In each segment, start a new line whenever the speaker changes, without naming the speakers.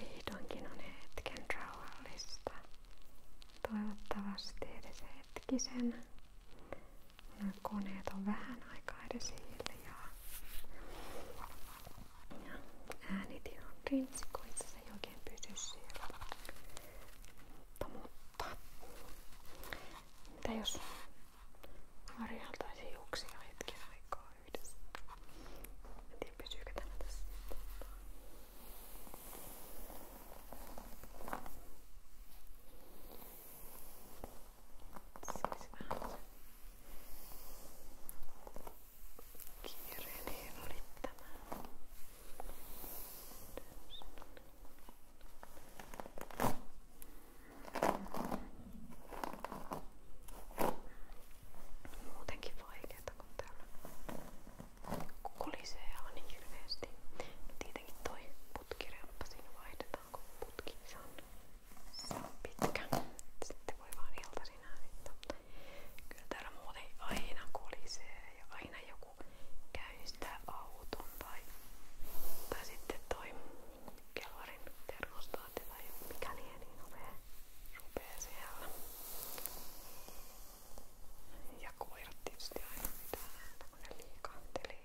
Vihdoinkin on hetken rauhallista. Toivottavasti edes hetkisen. Nämä koneet on vähän aikaa edes hiljaa. Ja äänitin on rintsi, kun itse asiassa ei oikein pysy siellä. Mutta, mutta. Mitä jos harjaltaisiin juuksia hetken aikaa yhdessä? En tiedä pysyykö tämä tässä. Okei, Siis vähän kiireinen oli tämä. Muutenkin vaikeeta, kun täällä kulisee ihan niin hirveesti. No tietenkin toi putkireappa siinä vaihdetaan, kun putki on se on pitkä. Sitten voi vaan iltaisin äänittää. Kyllä täällä muuten aina kolisee ja aina joku käynnistää auton tai, tai sitten toi kelvarin termostaatti tai mikä liian niin rupee, rupee siellä. Ja koirat tietysti aina pitää Tämmönen liikahteli.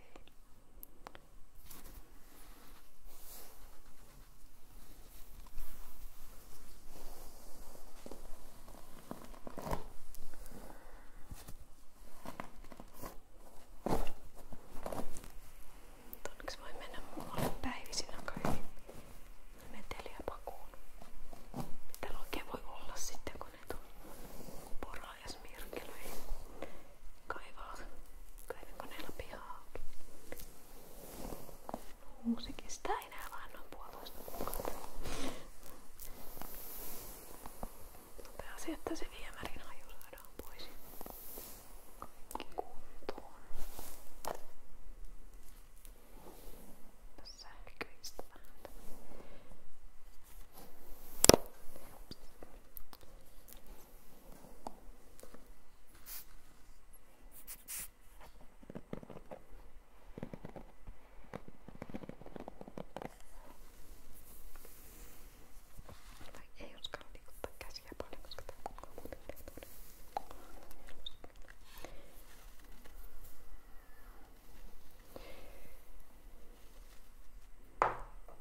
Onneksi voi mennä muualle päivisin aika hyvin meteliä pakuun. Täällä oikein voi olla sitten kun ne on pora ja smirkkelöihin. Kaivaa kaivinkoneella pihaa. Muusikista ei enää vaan noin puolitoista kuukautta. Pääsi, että se viemärin haju saadaan pois. Kaikki kuntoon. Tässä sähköistä vähän. Tai ei uskalla liikuttaa käsiä paljon, koska tämä kukaan muuten Okei,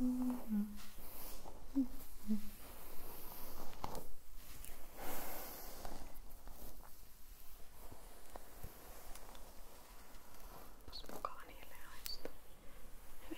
Mm. Mm. Mm. Onpas mukava niille haistaa. Hyvin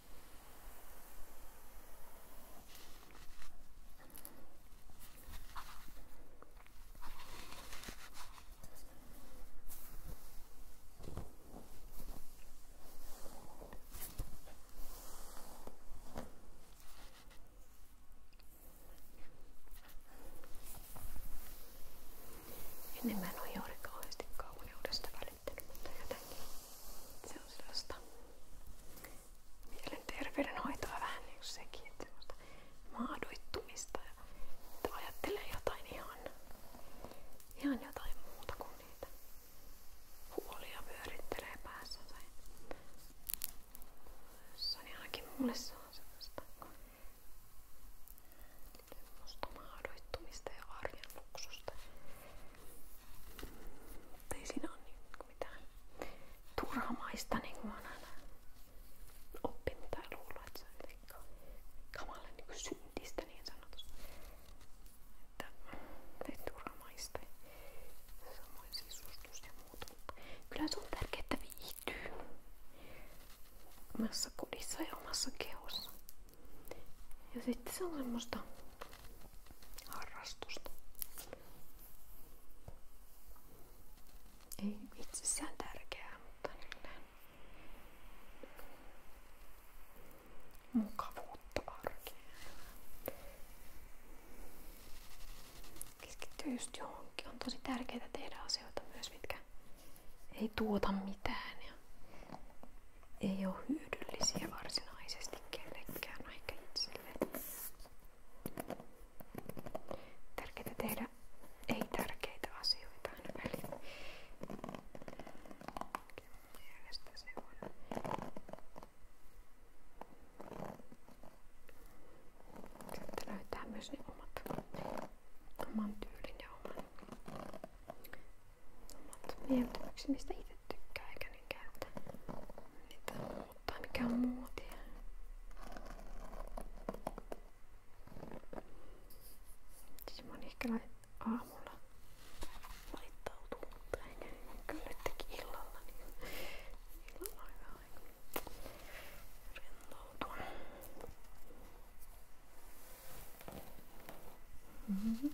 Ennen mä en ole juuri kauheasti kauneudesta välittänyt, mutta jotenkin se on sellaista mielenterveydenhoitoa vähän niin kuin sekin, että semmoista maadoittumista ja että ajattelee jotain ihan, ihan jotain muuta kuin niitä huolia pyörittelee päässänsä. Jossain ainakin mulle se on semmoista, semmoista maadoittumista ja arjen luksusta. Mutta ei siinä niin turhamaista, niin kuin mä oon että se on jotenkin kamalle niin niin Että ei turhamaista. Samoin sisustus ja Kyllä se on tärkeää, että viihtyy omassa ja omassa kehossa. Ja sitten se on semmoista harrastusta. Ei itsessään tärkeää, mutta niin mukavuutta arkeen. Keskittyy just johonkin. On tosi tärkeää tehdä asioita myös, mitkä ei tuota mitään. Ja ei ole hyödyllisiä varsinaisesti kenellekään aika itselle. Tärkeää tehdä ei tärkeitä asioita aina väliin. Mielestä se on. Sitten löytää myös ne omat, oman tyylin ja oman omat mieltymykseni, mistä itse tykkää eikä niin Niitä on muotia. Siis moni ehkä aamulla laittautuu, mutta ei kyllä nytkin illalla. Niin illalla on hyvä aika rentoutua. Mm-hmm.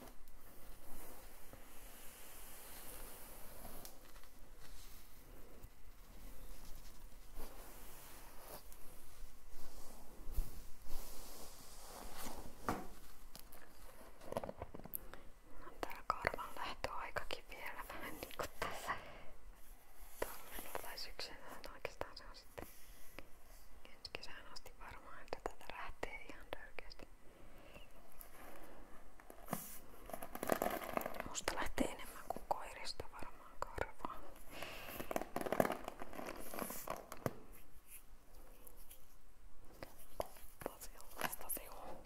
No, tää karvan lähtöaikakin vielä vähän niinku tässä talvella tai syksynä, oikeastaan se on sitten ensi kesään asti varmaan, että tätä lähtee ihan törkeästi. Musta lähtee enemmän kuin koirista varmaan karvaa. Sellaista se on.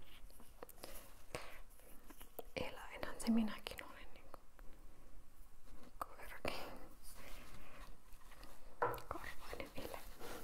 Eläinhän se minäkin olen niin koirakin. Karvainen eläin.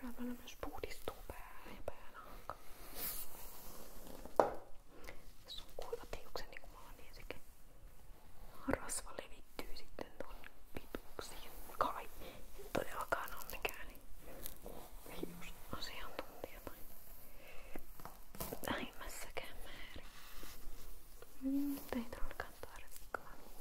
Seuraavana myös puhdistuu pää ja päänahka. Jos on kuivat hiukset niin kuin mä oon, niin sekin rasva levittyy sitten tuon pituuksiin. Kai en todellakaan ole mikään niin hiusasiantuntija tai vähimmässäkään määrin. Mm, ei todellakaan tarvikaan.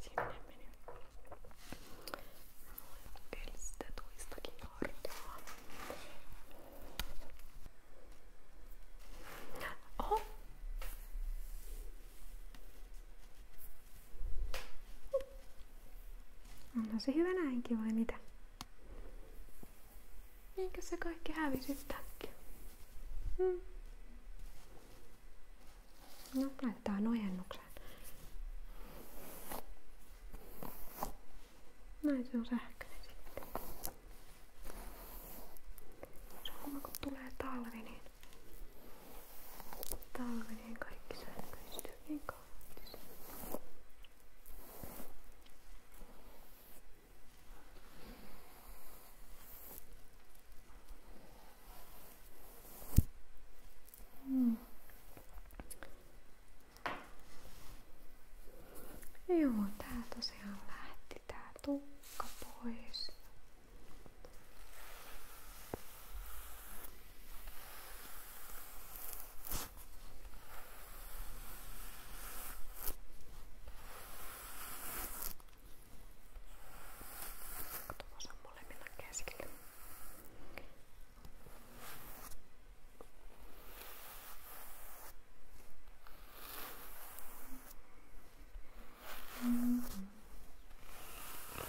Sinne meni. Elstetuistakin hartaa. Oho! Onhan se hyvä näinkin vai mitä? Eikö se kaikki hävisi yhtäkkiä? Mm. No, laitetaan ojennukseen. Näin se on sähköinen sitten. Se on kun tulee talvi, niin talvi, niin kaikki sähköistyy niin kauan. Mm. Joo, tää tosiaan lähti tää tukka pois. Tuossa on molemmilla käsillä. Mm -hmm. Okei,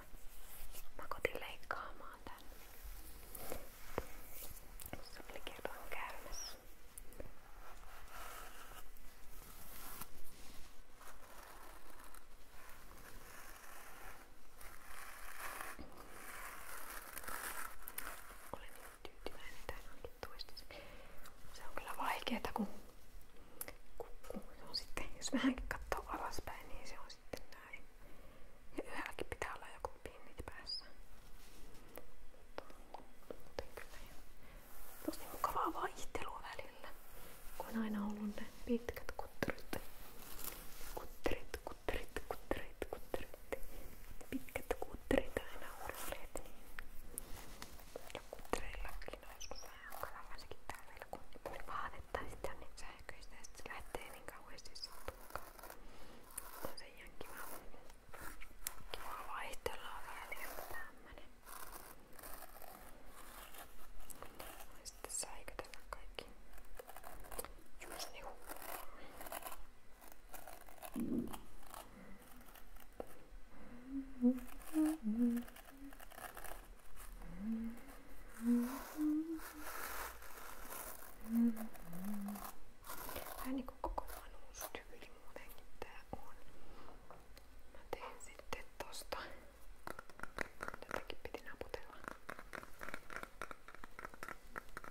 Mä kotiin leikkaamaan tän. Tuossa oli kerran käymässä. Olen niin tyytyväinen tähän toistaiseksi. Se on kyllä vaikeeta kun se on sitten, jos vähänkin katsoo alaspäin, niin se on sitten näin. Ja yhdelläkin pitää olla joku pinnit päässä. Muuten kyllä ihan tosi mukavaa vaihtelua välillä, kun on aina ollut ne pitkät kutterit. Kutterit, kutterit, kutterit, kutterit. Pitkät kutterit aina uudelleet. Ja kuttereillakin on joskus onko jossakin päivällä kun vaatetta ja sitten on niin sähköistä ja sitten se lähtee niin kauheasti sattumaan. On se ihan kiva, kiva vaihtella välillä niin tämmönen. Ja sitten säikytellä kaikki Vähän niinku koko vanhuustyyli muutenkin tää on. Mä teen sitten tosta. Tätäkin piti naputella. Mä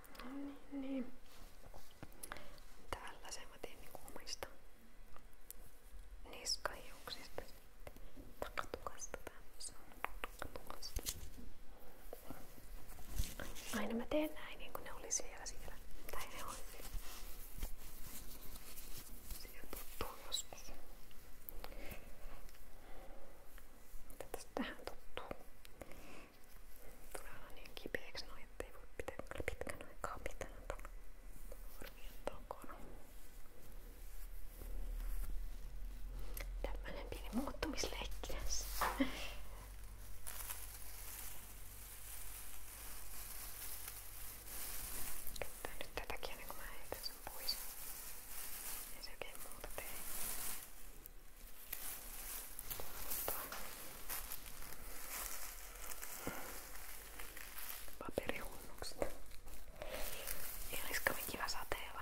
Niin, niin. Tällaisen mä teen niinku omista niskahiuksista. Takatukasta tämmösen. Takatukasta. Aina mä teen näin niin kuin ne oli siellä siellä. Tai ne on. Siellä tuttuu joskus. Mitä tästä tähän tuttuu? Tulee olla niin kipeäksi noin, ettei voi pitää pitkän aikaa pitää tuolla korvien takana. Tämmönen pieni muuttumisleikki tässä. Käyttää nyt tätäkin ennen kuin mä heitän sen pois. Ei se oikein muuta tee. Paperihunnukset. Ei olisi kovin kiva sateella.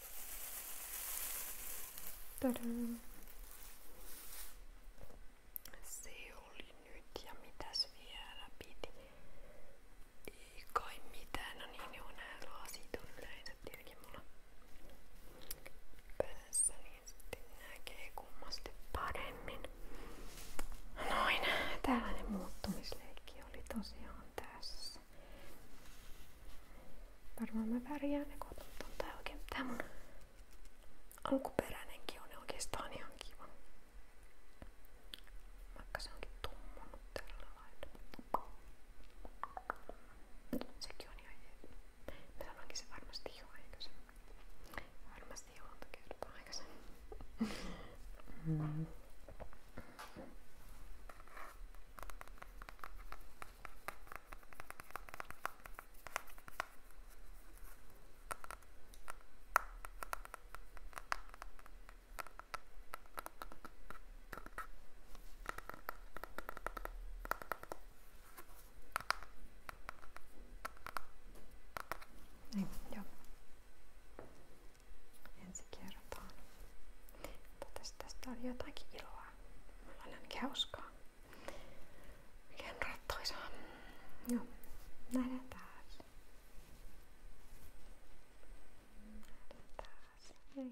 Se oli nyt ja mitäs piti? Ei kai mitään, no niin joo, nää lasit on yleensä tietenkin mulla päässä, niin paremmin. Noin, tällainen muuttumisleikki oli tosiaan tässä kanssa. Varmaan mä pärjään ne koton. Tää oikein, tää mun alkuperäinenkin on oikeastaan ihan kiva. Vaikka se onkin tummunut tällä lailla. Sekin on ihan jees. Mä sanoinkin se varmasti jo aikaisemmin. Varmasti jo monta kertaa aikaisemmin. Mm. Niin, joo. Ensi kertaan. Totes, tästä oli jotakin iloa hauskaa. Mulla on ainakin hauskaa. Oikein rattoisaa. Joo, nähdään taas. Nähdään taas. Hei hei.